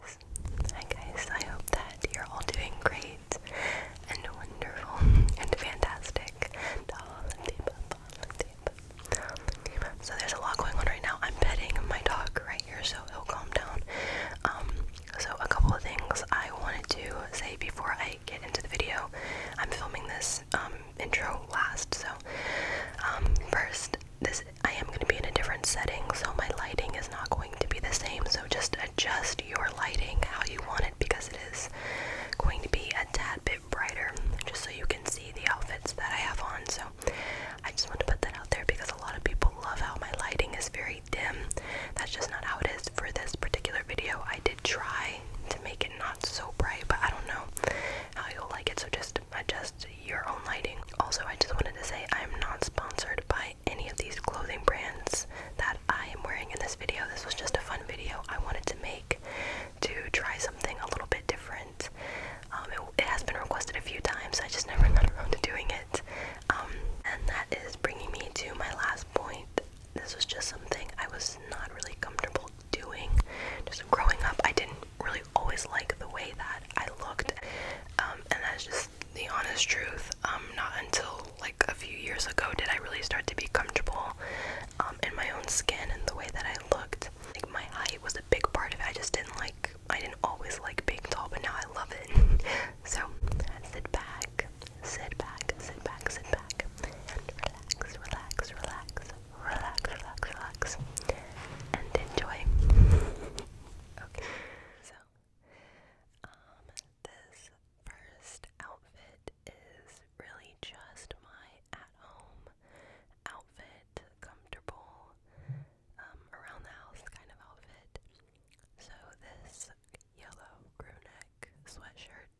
Guys, hi guys, I hope that you're all doing great and wonderful and fantastic. So there's a lot going on right now. I'm petting my dog right here so he'll calm down. Um, so a couple of things I wanted to say before I get into the video. I'm filming this um, intro last, so um, first this I am going to be in a different setting, so my lighting is not going to be the same. So just adjust your lighting how you want it because it is going to be a tad bit brighter, just so you can see the outfits that I have on. So I just want to put that out there because a lot of people love how my lighting is very dim. That's just not how it is for this particular video. I did try to make it not so bright, but I don't know how you'll like it. So just adjust your own lighting. Also, I just wanted to say I am not sponsored by any of these clothing brands that I am wearing in this video. This was just a fun video I wanted to make to try something a little bit different. Um, it, has been requested a few times, I just never got around to doing it. Um, and that is bringing me to my last point. This was just something I was not really comfortable doing. Just growing up, I didn't really always like the way that I looked, um, and that's just the honest truth. Um, not until like a few years ago did I really start to be comfortable um, in my own skin and the way that I looked. Like my height was a big part of it. I just didn't like. I didn't always like being tall, but now I love it. so sit back, sit back, sit back, sit back, and relax, relax, relax, relax, relax, relax, and enjoy. Okay, so um, this first outfit is really just my at-home outfit, comfortable um, around the house kind of outfit. So this yellow crew sweatshirt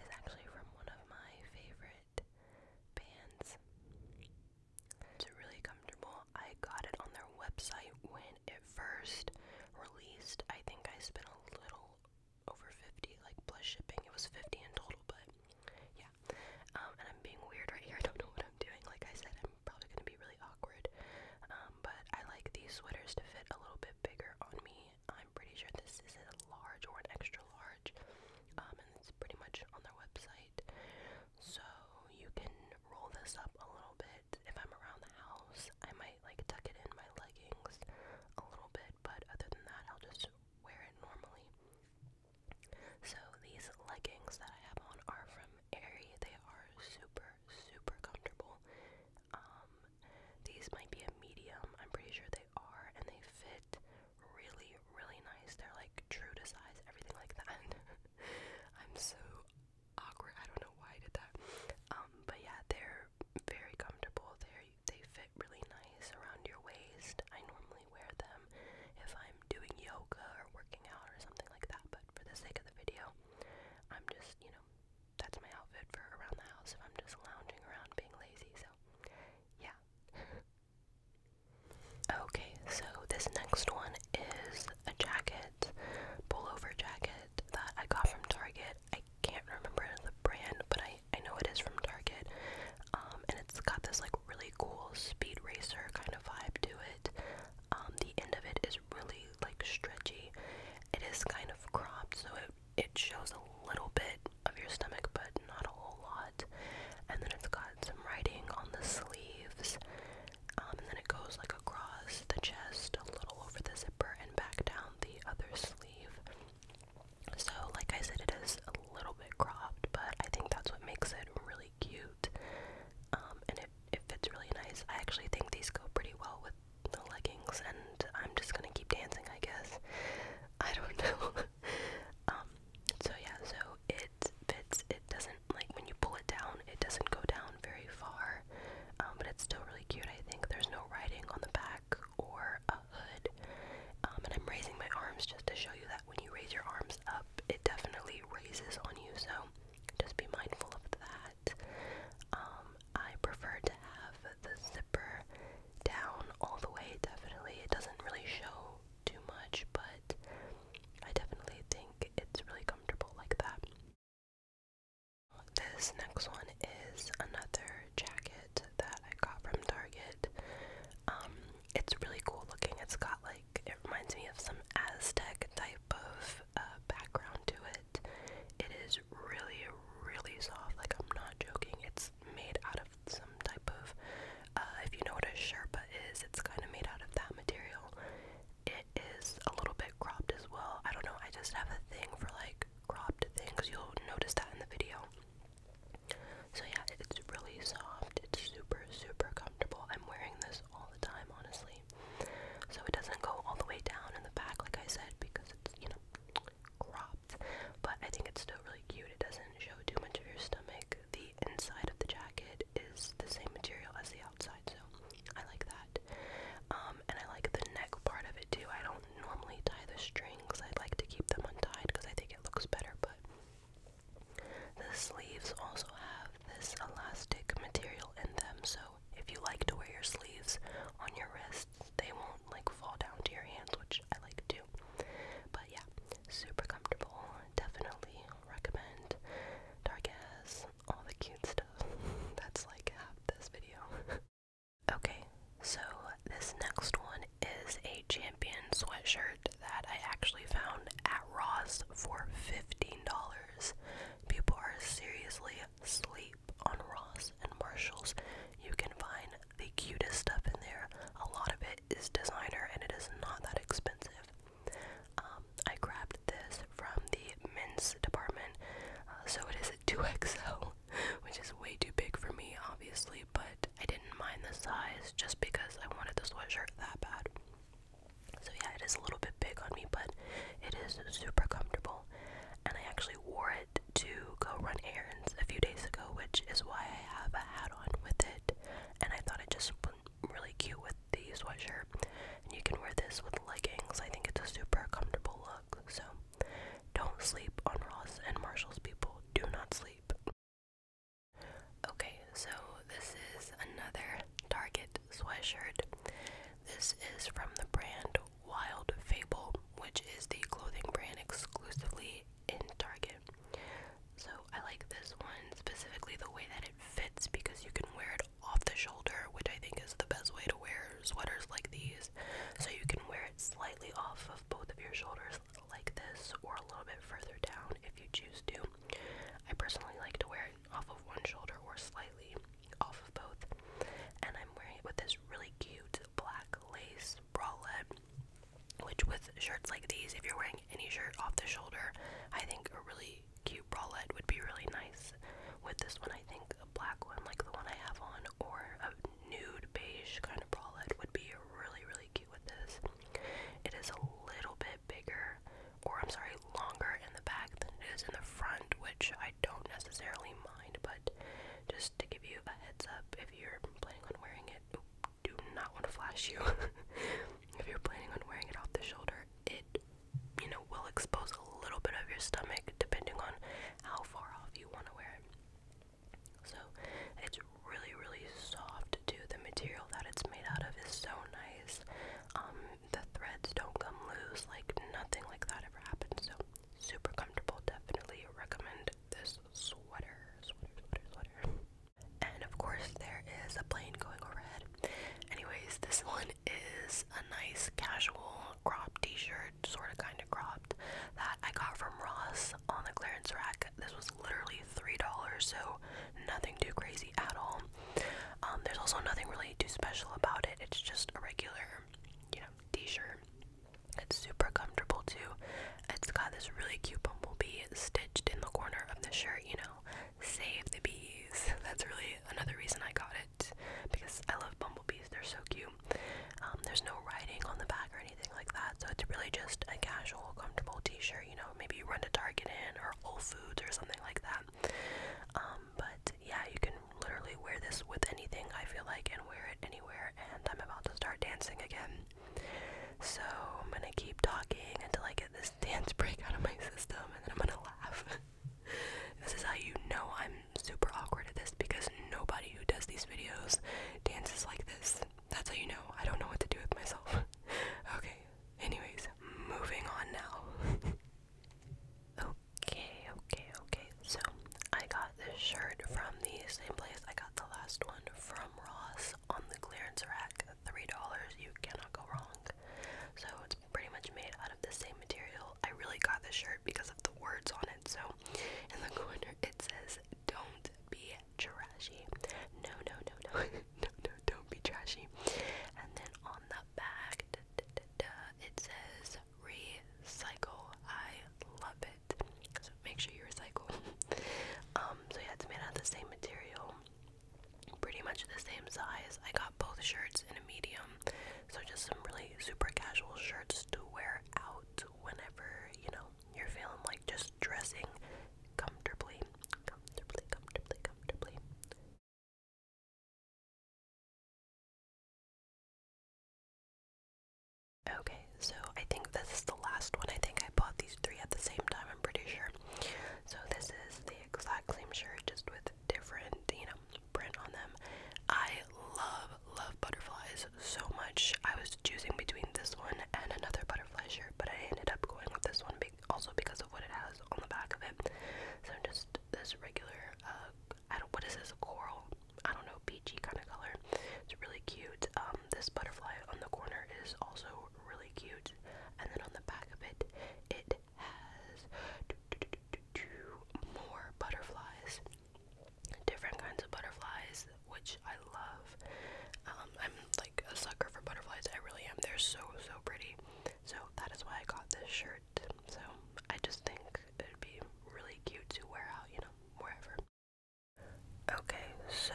is actually from one of my favorite bands. It's really comfortable. I got it on their website when it first released. I think I spent a little over 50 like plus shipping. It was 50 in total, but yeah. Um, and I'm being weird right here. I don't know what I'm doing. Like I said, I'm probably going to be really awkward. Um, but I like these sweaters to fit a little bit bigger on me. I'm pretty sure this is a large or an extra large. Um, and it's pretty much on their website. So you can roll this up a little bit. If I'm around the house, I might like tuck it in my leggings a little bit, but other than that, I'll just wear it normally. So these leggings that I have on are from Aerie. They are super, super comfortable. Um, these might be a medium. I'm pretty sure they are, and they fit really, really nice. They're like true to size, everything like that. I'm so awkward. I don't know why I did that. Um, but yeah, they're very comfortable. They they fit really nice around your waist. I normally wear them if I'm doing yoga or working out or something like that. But for the sake of the video, I'm just you know that's my outfit for around the house if I'm just lounging around being lazy. So yeah. Okay, so this next one is a jacket, pullover jacket that I got from Target. I can't remember the brand, but I, I know it is from Target. Um, and it's got this like really cool speed racer kind of vibe to it. Um, the end of it is really like stretchy. It is kind of cropped, so it it shows a little bit of your stomach, but not a whole lot. And then it's got some writing on the sleeves. Um, and then it goes like across the chest, a little over the zipper, and back down the other sleeve. So, like I said, it is a little bit cropped, but I think that's what makes it really cute. Um, and it, it fits really nice. I actually think these go pretty well with the leggings, and I'm just gonna keep dancing, I guess. I don't know. Um, so yeah, so it it fits. It doesn't like when you pull it down, it doesn't go down very far. Um, but it's still really cute. I think there's no writing on the back or a hood. Um, and I'm raising my arms just to show you that when you raise your arms up, it definitely raises on you. So just be mindful of that. Um, I prefer to have the zipper down all the way. Definitely, it doesn't really show too much, but I definitely think it's really comfortable like that. This next one is another jacket that I got from Target. Um, it's really cool looking. It's got like, it reminds me of some Aztec type of uh, background to it. It is really, really soft. Like, I'm not joking. It's made out of some type of, uh, if you know what a sherpa is, it's kind of made out of that material. It is a little bit cropped as well. I don't know, I just have a thing for like cropped things. You'll notice that in the video. So yeah, it's really soft. It's super, super comfortable. I'm wearing this all the time, honestly. So it doesn't go all the way down in the back, like I said, because it's, you know, cropped. But I think it's still really cute. It doesn't show too much of your stomach. The the inside of the jacket is the same material as the outside, so I like that. Um, and I like the neck part of it too. I don't normally tie the strings. I like to keep them untied because I think it looks better, but the sleeves also have this elastic material in them, so if you like to wear your sleeves on your wrists, they won't like fall down to your hands, which I like to do. But yeah, super comfortable. Definitely recommend. Dark all the cute stuff. That's like half this video. okay, so this next one is a champion sweatshirt that I actually found at Ross for $15. People are seriously asleep on Ross and Marshalls. You can find the cutest stuff in there. A lot of it it is designer and it is not that expensive. Um, I grabbed this from the men's department, uh, so it is a 2XL, which is way too big for me, obviously, but I didn't mind the size just because I wanted the sweatshirt that bad. So, yeah, it is a little bit big on me, but it is super comfortable. And I actually wore it to go run errands a few days ago, which is why I have a hat on with it and I thought it just went really cute with these sweatshirt. And you can wear this with leggings. I think it's a super comfortable look. So don't sleep on Ross and Marshall's people. Do not sleep. Okay, so this is another Target sweatshirt. This is from the brand Wild Fable, which is the clothing brand exclusively in Target. So I like this one specifically the way that it fits because you can wear it off the shoulder, which I think is the best way to wear sweaters like these. So you can wear it slightly off of both of your shoulders like this or a little bit further down if you choose to. I personally like to wear it off of one shoulder or slightly off of both. And I'm wearing it with this really cute black lace bralette which with shirts like these, if you're wearing any shirt off the shoulder, I think a really cute bralette would be really nice. With this one, I think a black one like the one I have on, or a nude beige kind of bralette would be really, really cute with this. It is a little bit bigger, or I'm sorry, longer in the back than it is in the front, which I don't necessarily mind, but just to give you a heads up if you're planning on wearing it do not want to flash you. if you're planning on wearing it off the shoulder, it you know will expose a little bit of your stomach depending on how far off you want to wear it. So it's really really soft too. The material that it's made out of is so nice. Um, the threads don't come loose, like nothing like that ever happens. So super comfortable. Definitely recommend this sweater, sweater, sweater, sweater. And of course, there is a plane going overhead. Anyways, this one is a nice casual crop t shirt, sort of kind of cropped, that I got from Ross on the clearance rack. This was literally $3, so nothing too crazy at all. Um, there's also nothing really too special about it, it's just a regular, you know, t shirt. It's super comfortable too. It's got this really cute bumblebee stitched in the corner of the shirt, you know. Save the bees. That's really another reason I got it because I love bumblebees. They're so cute. Um, there's no writing on the back or anything like that, so it's really just a casual, comfortable T-shirt. You know, maybe you run to Target in or Whole Foods or something like that. Um, but yeah, you can literally wear this with anything. I feel like and wear it anywhere. And I'm about to start dancing again. So I'm gonna keep talking until I get this dance break out of my system and then I'm gonna laugh. this is how you know I'm super awkward at this because nobody who does these videos dances like this. That's how you know I don't know what to do with myself. okay, anyways, moving on now. okay, okay, okay. So I got this shirt from the same place I got the last one from Ross bucks on the clearance rack. Three dollars, you cannot go wrong. So it's pretty much made out of the same material. I really got this shirt because of the words on it. So in the corner it says, "Don't be trashy." No, no, no, no, no, no, don't be trashy. And then on the back, da, da, da, da, it says, "Recycle." I love it. So make sure you recycle. um, so yeah, it's made out the same material, pretty much the same size. I got both shirts in a medium, so just some really super casual shirts to wear out whenever you know you're feeling like just dressing comfortably, comfortably, comfortably, comfortably. Okay, so I think this is the last one. I think I bought these three at the same time, I'm pretty sure. So this is the exact same shirt, just with different, you know, print on them. I love, love butterflies so much. I was choosing between this one and another butterfly shirt, but I ended up going with this one also because of what it has on the back of it. So just this regular, uh, is this, coral? I don't know, peachy kind of color. It's really cute. Um, this butterfly on the corner is also really cute, and then on the back of it, it has two more butterflies, different kinds of butterflies, which I love. Um, I'm like a sucker for butterflies. I really am. They're so so pretty. So that is why I got this shirt. So I just think it'd be really cute to wear out, you know, wherever. Okay, so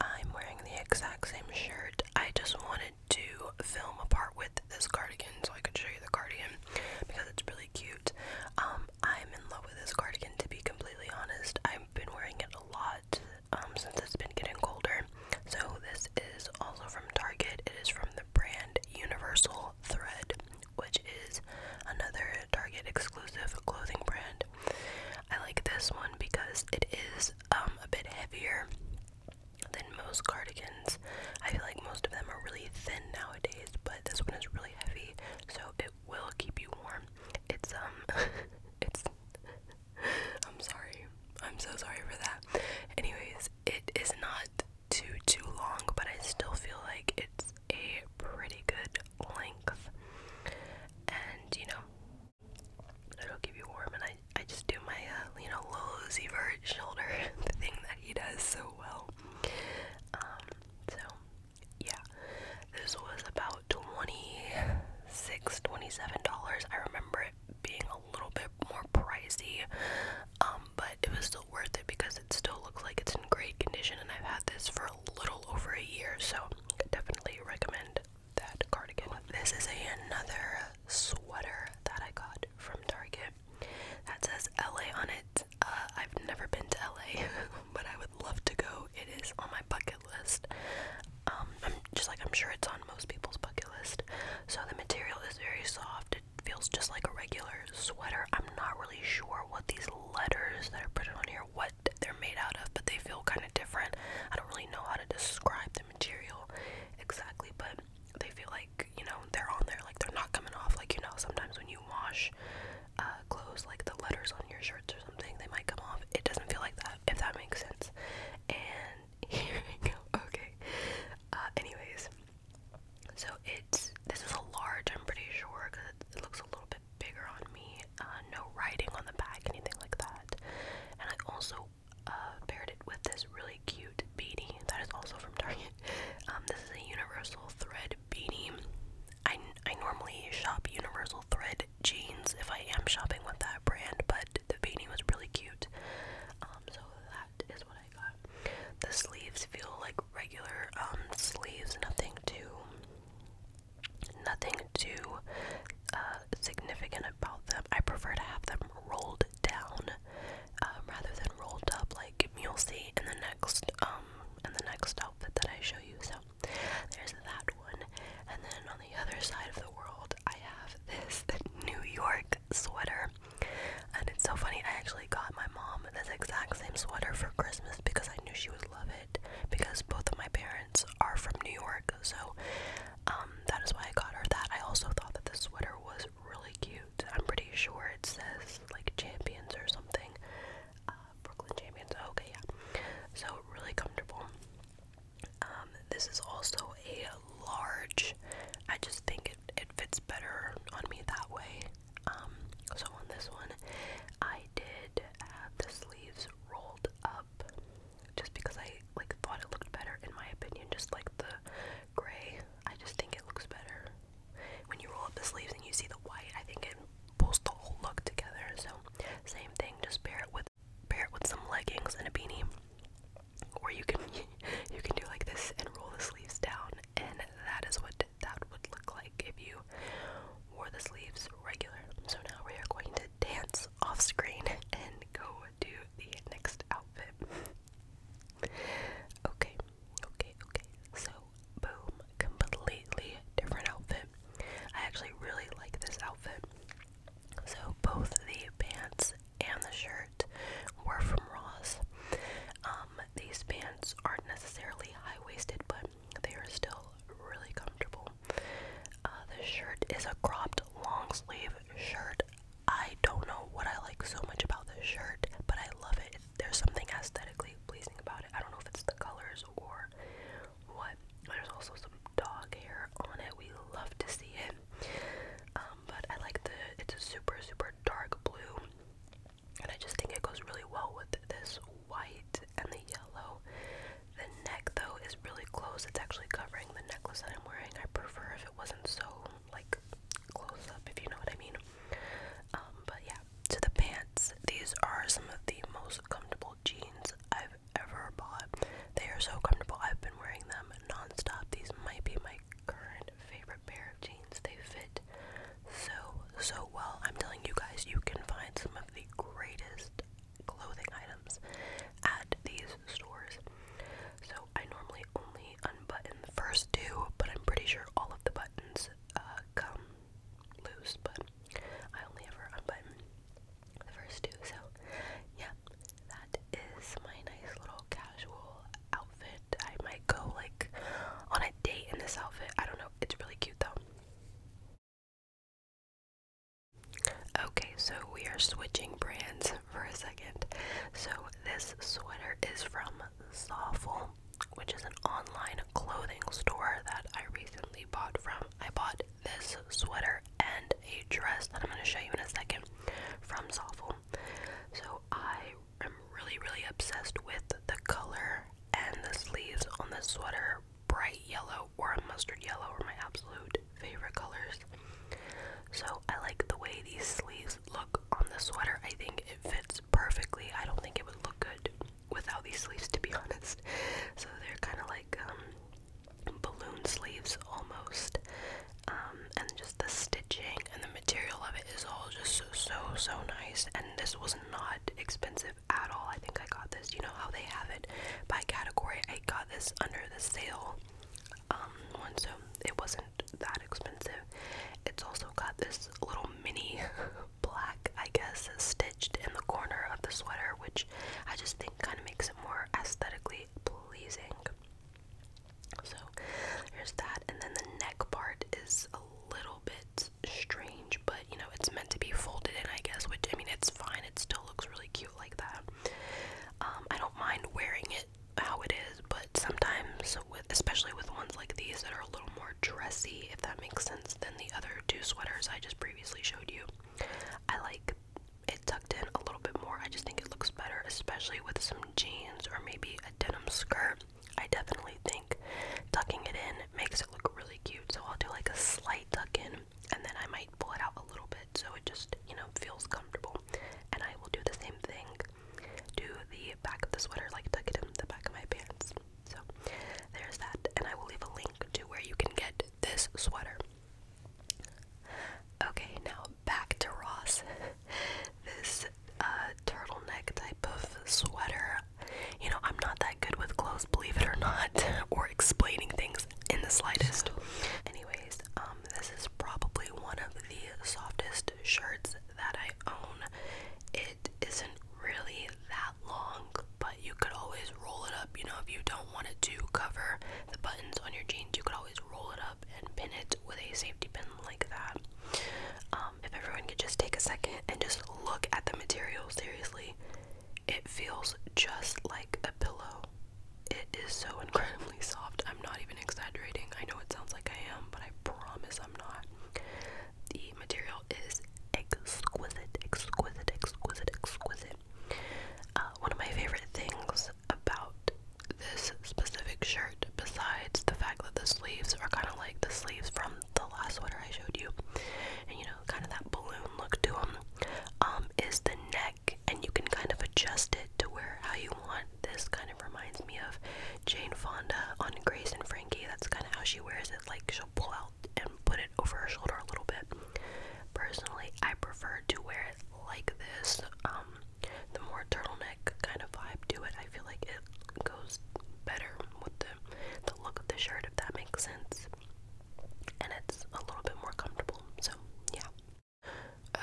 I'm wearing the exact same shirt. I just wanted to film a with this cardigan so I could show you the cardigan because it's really cute. Um, I'm in love with this cardigan to be completely honest. I've been wearing it a lot um, since it's been getting colder. So this is also from Target. It is from the brand Universal Thread, which is another Target exclusive clothing brand. I like this one because it is um, a bit heavier than most cardigans. I feel like most of them are really thin nowadays, but this one is really heavy, so it will keep you warm. It's um, it's. I'm sorry. I'm so sorry for that. Anyways, it is not too too long, but I still feel like it's a pretty good length, and you know it'll keep you warm. And I I just do my uh, you know Lowe's Evert shoulder thing that he does so well. Um, so yeah, this was about twenty six, twenty seven dollars. I remember it being a little bit more pricey, um, but it was still worth it because it still looks like it's in great condition. And I've had this for for a little over a year, so definitely recommend that cardigan. This is another sweater that I got from Target that says LA on it. Uh, I've never been to LA, but I would love to go. It is on my bucket list. Um, I'm just like I'm sure it's on most people's bucket list. So the material is very soft. It feels just like a regular sweater. I'm not really sure what these letters that are printed on here, what what they're made out of, but they feel kind of different. I don't really know how to describe the material exactly, but they feel like, you know, they're on there, like they're not coming off. Like, you know, sometimes when you wash uh, clothes, like the letters on your shirts or something, they might come off. It doesn't feel like that, if that makes sense. And here we go. Okay. Uh, anyways, so it's this is a large, I'm pretty sure, because it, it looks a little bit bigger on me, uh, no writing on the back, anything like that. And I also uh, paired it with this really cute beanie that is also from Target. Um, this is a Universal Thread beanie. I, I normally shop Universal Thread jeans if I am shopping with that brand, but the beanie was really cute. Um, so that is what I got. The sleeves feel like regular um, sleeves, nothing too Nothing too uh, significant about them. I prefer to have them rolled down um, rather than rolled up, like you'll see in the next um in the next outfit that I show you. So there's that one, and then on the other side of the world, I have this New York sweater, and it's so funny. I actually got my mom this exact same sweater for Christmas because I knew she would love it it because both of my parents are from New York, so um, that is why I got her that. I also thought that the sweater was really cute. I'm pretty sure it says like Champions or something. Uh, Brooklyn Champions. Okay, yeah. So really comfortable. Um, this is also a large. I just think it it fits better on me that way. Um, so on this one, I did have the sleeves rolled up just because I like thought it looked better in my opinion, just like the gray. I just think it looks better. When you roll up the sleeves and you see the white, I think it pulls the whole look together. So same thing, just pair it with pair it with some leggings and a beanie. Or you can you can do like this and roll the sleeves down and that is what that would look like if you wore the sleeves regular. So now we are going to dance off screen and go to the next outfit. Okay, okay, okay. So boom, completely different outfit. I actually really like this outfit. So both the pants and the shirt were from Ross. Um, these pants aren't necessarily high waisted, but they are still really comfortable. Uh, this shirt is a cropped long sleeve shirt. I don't know what I like so much about this shirt, but I love it. There's something aesthetically pleasing about it. I don't know if it's the colors or what. There's also some dog hair on it. We love to see it. Um, but I like the, it's a super, super dark blue and I just think it goes really well with this white and the yellow. The neck though is really close. It's actually covering the necklace that I'm wearing. I prefer if it wasn't so like close up, if you know what I mean. Um, but yeah, to the pants. These are some of the most comfortable jeans I've ever bought. They are so comfortable. I've been wearing them non-stop. These might be my current favorite pair of jeans. They fit so, so well. I'm telling you guys, you can find some of the greatest clothing items at these stores. So, I normally only unbutton the first two, but I'm pretty sure all of the buttons uh, come loose, but I only ever unbutton the first two. So, yeah, that is my nice little casual outfit. I might go like on a date in this outfit. I don't know. It's really cute though. Okay, so we are switching brands for a second. So this sweater is from Sawful, which is an online clothing store that I recently bought from. I bought this sweater and a dress that I'm going to show you in a second from Sawful. So I i am really, really obsessed with the color and the sleeves on the sweater. Bright yellow or a mustard yellow are my absolute favorite colors. So I like the way these sleeves look on the sweater. I think it fits perfectly. I don't think it would look good without these sleeves, to be honest. So they're kind of like um, balloon sleeves almost. Um, and just the stitching and the material of it is all just so, so, so nice. And this was not expensive at all. I think I got this. You know how they have it by category. I got this under the sale um, one, so it wasn't that expensive. It's also got this little mini black, I guess, stitched in the corner of the sweater, which I just think kind of makes it more aesthetically pleasing. So there's that, and then the neck part is a little bit strange, but you know, it's meant to be folded in, I guess, which I mean, it's fine. It still looks really cute like that. Um, I don't mind wearing it how it is, but sometimes, with especially with ones like these that are a little more dressy, if that makes sense, than the other two sweaters I just previously showed you, I like it tucked in a little bit more. I just think it looks better, especially with some jeans or maybe a denim skirt. I definitely think tucking it in makes it look really cute. So I'll do like a slight tuck in and then I might pull it out a little bit so it just, you know, feels comfortable. And I will do the same thing to the back of the sweater, like tuck it in the back of my pants. So there's that. And I will leave a link to where you can get this sweater. Okay, now back to Ross. this uh, turtleneck type of sweater. You know, I'm not that good with clothes, believe it or not, or explaining things in the slightest. Anyways, um, this is probably one of the softest shirts that I own. It isn't really that long, but you could always roll it up. You know, if you don't want it to cover the buttons on your jeans, you could always roll it up and pin it with a safety pin like that. Um, if everyone could just take a second and just look at the material, seriously, it feels just like a pillow. It is so incredibly soft. I'm not even exaggerating. I know it sounds like I am, but I promise I'm not. The material is exquisite, exquisite, exquisite, exquisite. Uh, one of my favorite things about this specific shirt besides the fact that the sleeves are kind of like the sleeves from the last sweater I showed you and you know kind of that balloon look to them um, is the neck and you can kind of adjust it to where how you want this kind of reminds me of Jane Fonda on Grace and Frankie that's kind of how she wears it like she'll pull out and put it over her shoulder a little bit personally I prefer to wear it like this um the more turtleneck kind of vibe to it I feel like it goes better with the look of the shirt if that makes sense. And it's a little bit more comfortable. So yeah.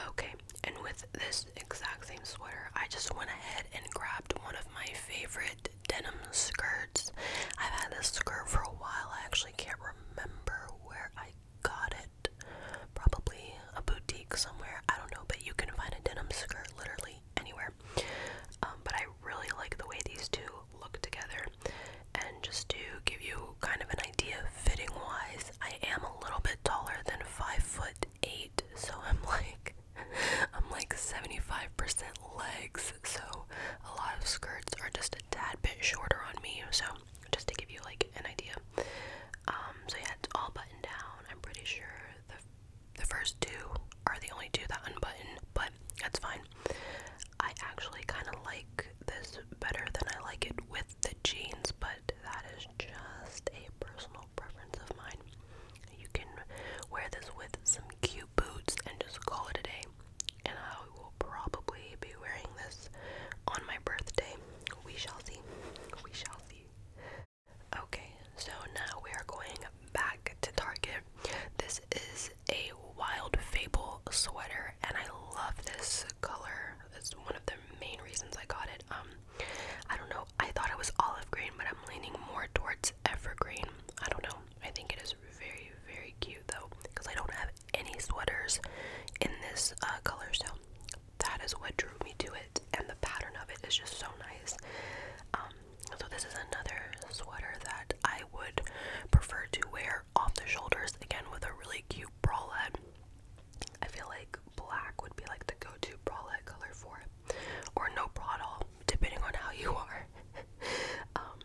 Okay, and with this exact same sweater, I just went ahead and grabbed one of my favorite denim skirts. I've had this skirt for a while. I actually can't remember where I got it. Probably a boutique somewhere. I don't know, but you can find a denim skirt literally anywhere. Um, but I really like the way these two look together. And just to give you kind of an idea, fitting wise, I am a little bit taller than five foot eight, so I'm like I'm like 75% legs, so a lot of skirts are just a tad bit shorter on me. So just to give you like an idea, um, so yeah, it's all buttoned down. I'm pretty sure the the first two are the only two that unbutton, but that's fine. I actually kind of like this better than I like it with the jeans, but that is just a personal preference of mine. You can wear this with some cute boots and just call it a day. And I will probably be wearing this on my birthday. We shall see. We shall see. Okay, so now we are going back to Target. This is a Wild Fable sweater, and I love this color. That's one of the main reasons I got it. Um, I don't know. I thought it was olive green, but I'm leaning more towards evergreen. I don't know. I think it is very, very cute though, because I don't have any sweaters in this uh, color, so that is what drew me to it, and the pattern of it is just so nice. Um, so this is another sweater that I would prefer to wear off the shoulders, again with a really cute bralette. I feel like black would be like the go-to bralette color for it, or no bra at all, depending on how you are. Um,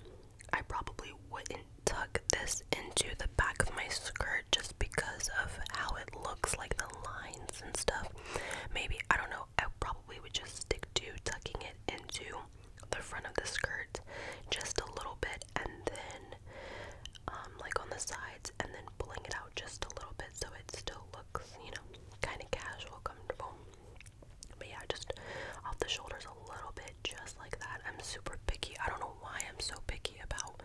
I probably wouldn't tuck this into the back of my skirt just because of how it looks, like the lines and stuff. Maybe, I don't know, I probably would just stick to tucking it into the front of the skirt just a little bit and then um, like on the sides and then pulling it out just a little bit so it still looks, you know, kind of casual, comfortable. But yeah, just off the shoulders a little bit, just like that. I'm super picky. I don't know why I'm so picky about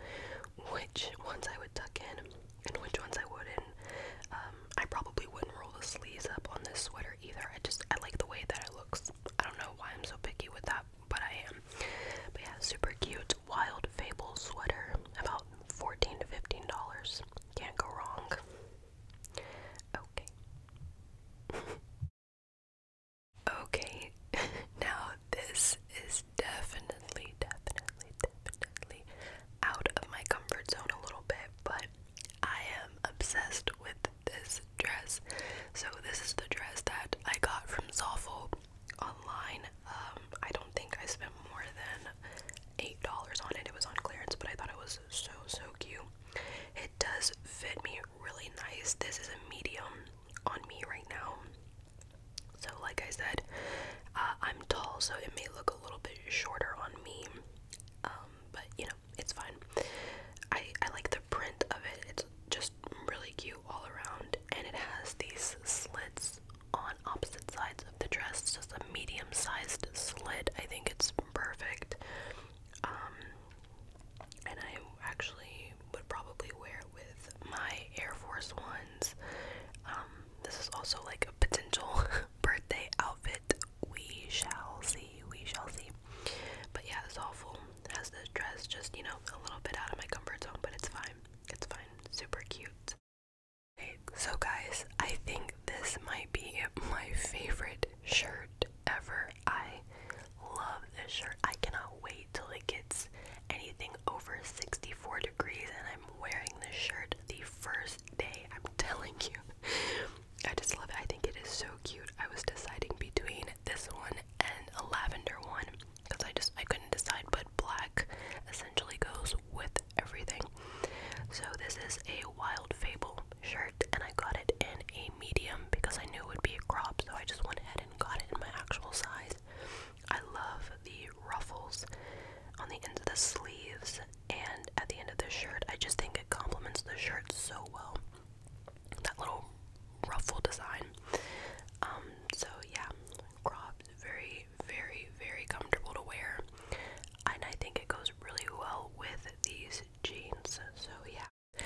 which ones I would tuck in and which ones I wouldn't. Um, I probably wouldn't roll the sleeves up on this sweater either. I just I like the way that it looks. I don't know why I'm so picky with that, but I am. But yeah, super cute wild fable sweater, about fourteen to fifteen dollars. Can't go wrong. Okay. okay. now this is definitely, definitely, definitely out of my comfort zone a little bit, but I am obsessed with this dress. So this is the dress that I got from Zoffel online. Um, I don't think I spent more than eight dollars on it. It was on clearance, but I thought it was so so cute. It does fit me really nice. This is a medium on me right now. So, like I said, uh, I'm tall, so it may look a little bit shorter on me, um, but you know, it's fine. I, I like the print of it, it's just really cute all around, and it has these slits on opposite sides of the dress, just a medium sized slit. I think it's perfect. Um, and I actually would probably wear it with my Air Force Ones. Um, this is also like a potential birthday outfit. We shall see. We shall see. But yeah, it's awful. Has the dress just, you know, a little bit out of my comfort zone, but it's fine. It's fine. Super cute. Okay, so guys, I think this might be my favorite shirt ever. I love this shirt. I cannot wait till it anything over 64 degrees and I'm wearing this shirt the first day. I'm telling you. I just love it. I think it is so cute. I was deciding between this one and a lavender one because I just I couldn't decide but black essentially goes with everything. So this is a Wild Fable shirt and I got it in a medium because I knew it would be a crop so I just went ahead and got it in my actual size. I love the ruffles on the end of the sleeves and at the end of the shirt. I just think it complements the shirt so well. That little ruffle design. Um, so yeah, cropped, very, very, very comfortable to wear. And I think it goes really well with these jeans. So yeah.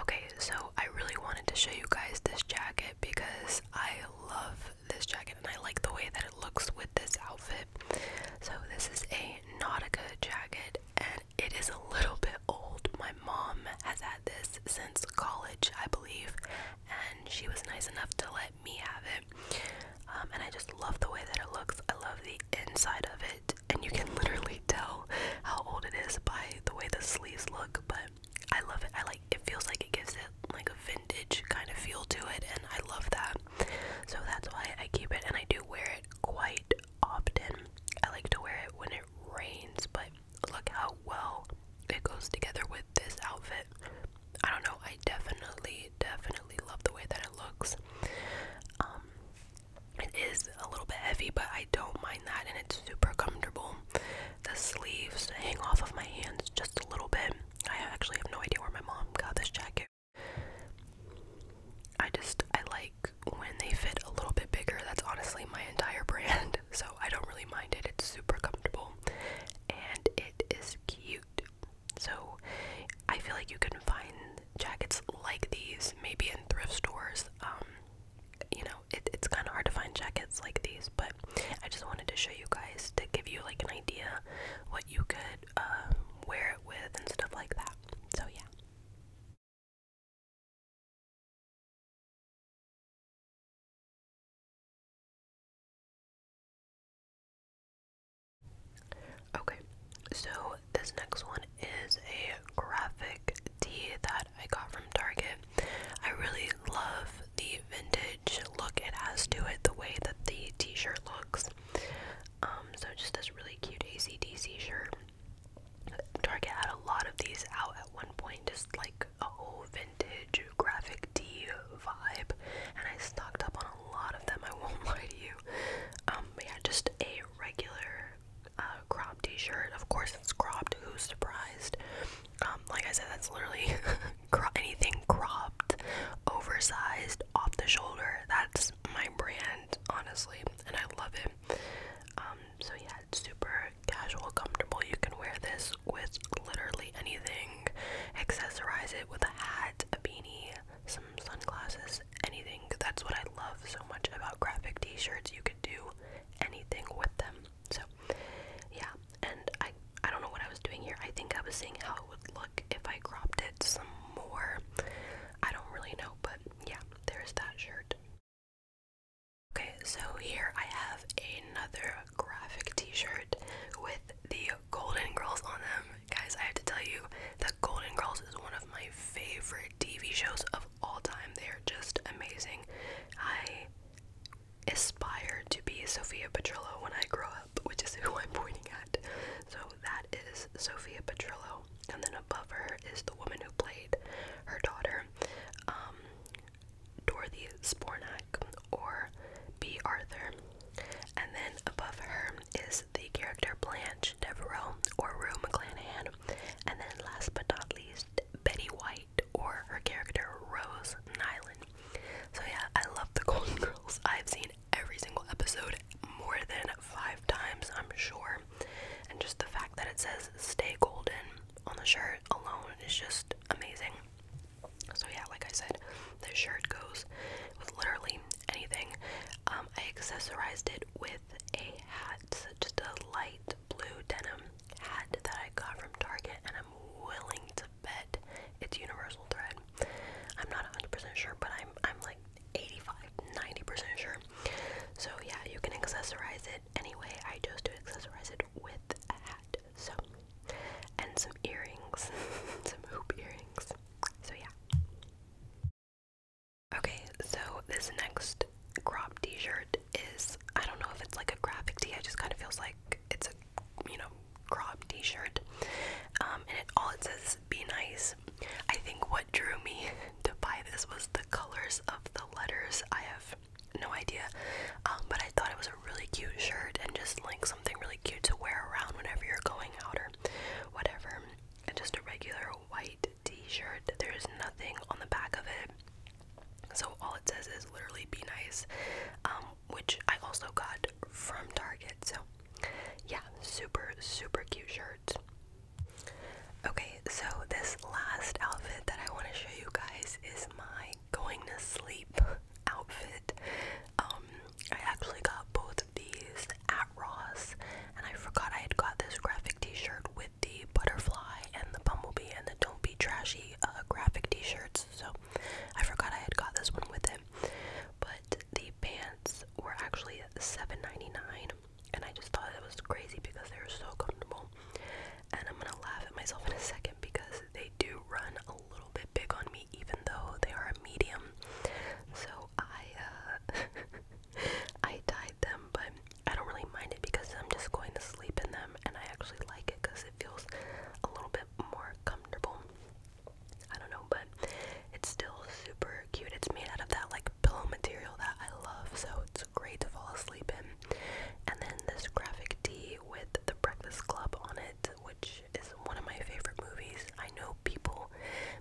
Okay, so I really wanted to show you guys this jacket because I love this jacket and I like the way that it looks with this outfit. So this is a Nautica jacket and it is a little bit old. My mom has had this since college, I believe, and she was nice enough to let me have it. Um, and I just love the way that it looks. I love the inside of it, and you can literally tell how old it is by the way the sleeves look, but I love it. I like it feels like it gives it like a vintage kind of feel to it and I love that. So that's why I keep it and I do wear it quite often. I like to wear it when it rains, but look how well it goes together with this outfit. I don't know. I definitely definitely love the way that it looks. Um it is a little bit heavy, but I don't mind that and it's super comfortable the sleeves hang off of my hands just a little bit. I actually have no idea where my mom got this jacket. I just, I like when they fit a little bit bigger. That's honestly my entire brand, so I don't really mind it. It's super comfortable and it is cute. So I feel like you can find jackets like these maybe in thrift stores. Um, you know, it's kind of hard to find jackets like these, but I just wanted to show you guys to give you like an idea what you could um, wear it with and stuff like that. So, yeah. Okay, so this next one is a graphic tee that I got from Target. I really love the vintage look it has to it, the way that the t-shirt looks. Um, so just this really cute ACDC shirt. Target had a lot of these out at one point, just like a whole vintage graphic tee vibe, and I stocked up on a lot of them. I won't lie to you. Um, yeah, just a regular uh, crop t-shirt. Of course, it's cropped. Who's surprised? like I said, that's literally anything cropped, oversized, off the shoulder. That's my brand, honestly, and I love it. Um, so yeah, it's super casual, comfortable. You can wear this with literally anything. Accessorize it with a hat, a beanie, some sunglasses, anything. That's what I love so much about graphic t-shirts. You could do anything with them. So, yeah, and I I don't know what I was doing here. I think I was seeing how it would look if I cropped it some more. I don't really know, but yeah, there's that shirt. Okay, so here I have another graphic t-shirt with the Golden Girls on them. Guys, I have to tell you that Golden Girls is one of my favorite TV shows of all time. They are just amazing. I aspire to be Sophia Petrillo when I grow up, which is who I'm pointing at. So that is Sophia Petrillo, and then above her is the woman who played her daughter, um, Dorothy Spornak, or B. Arthur. And then above her is the character Blanche Devereaux, or Rue McClanahan. And then last but not least, Betty White or her character Rose Nyland. So yeah, I love the Golden Girls. I've seen every single episode more than five times, I'm sure. And just the fact that it says "Stay Golden" on the shirt alone is just amazing. So yeah, like I said, the shirt goes with literally anything. Um, I accessorized it with a hat, just a light blue denim hat that I got from Target, and willing to bet it's Universal Thread. I'm not 100% sure, but I'm I'm like 85, percent sure. So yeah, you can accessorize it anyway. I chose to accessorize it with a hat, so and some earrings, some hoop earrings. So yeah. Okay, so this next crop t-shirt is I don't know if it's like a graphic tee. It just kind of feels like it's a you know crop T-shirt, um, and all it says "Be nice." I think what drew me to buy this was the colors of the letters. I have no idea, um, but I thought it was a really cute shirt and just like something really cute to wear around whenever you're going out or whatever. And just a regular white T-shirt. There's nothing on the back of it. So all it says is literally be nice, um, which I also got from Target. So yeah, super, super cute shirt. Okay, so this last outfit that I want to show you guys is my going to sleep outfit. Um, I actually got both of these at Ross, and I forgot I had got this graphic t shirt with the butterfly and the bumblebee and the don't be trashy uh, graphic t-shirts so i forgot i had got this one with it but the pants were actually $7.99 and i just thought it was crazy because they were so comfortable and i'm gonna laugh at myself in a second because they do run a little bit big on me even though they are a medium so i uh i dyed them but I don't really mind it because I'm just going to sleep in them and I actually like it because it feels a little bit more comfortable. I don't know, but it's still super cute. It's made out of that like pillow material that I love, so it's great to fall asleep in. And then this graphic tee with the Breakfast Club on it, which is one of my favorite movies. I know people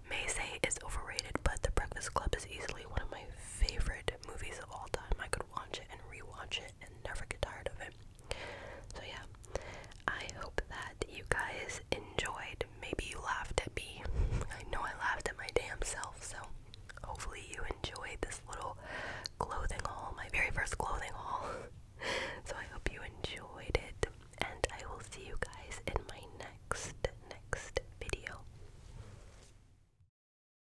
may say it's overrated, but The Breakfast Club is easily one of my favorite movies of all time. I could watch it and rewatch it and never get tired of it. So, yeah, I hope that you guys enjoyed. Maybe you laughed at me. I know I laughed at my damn self, so hopefully you enjoyed this little clothing haul, my very first clothing haul. so, I hope you enjoyed it, and I will see you guys in my next, next video.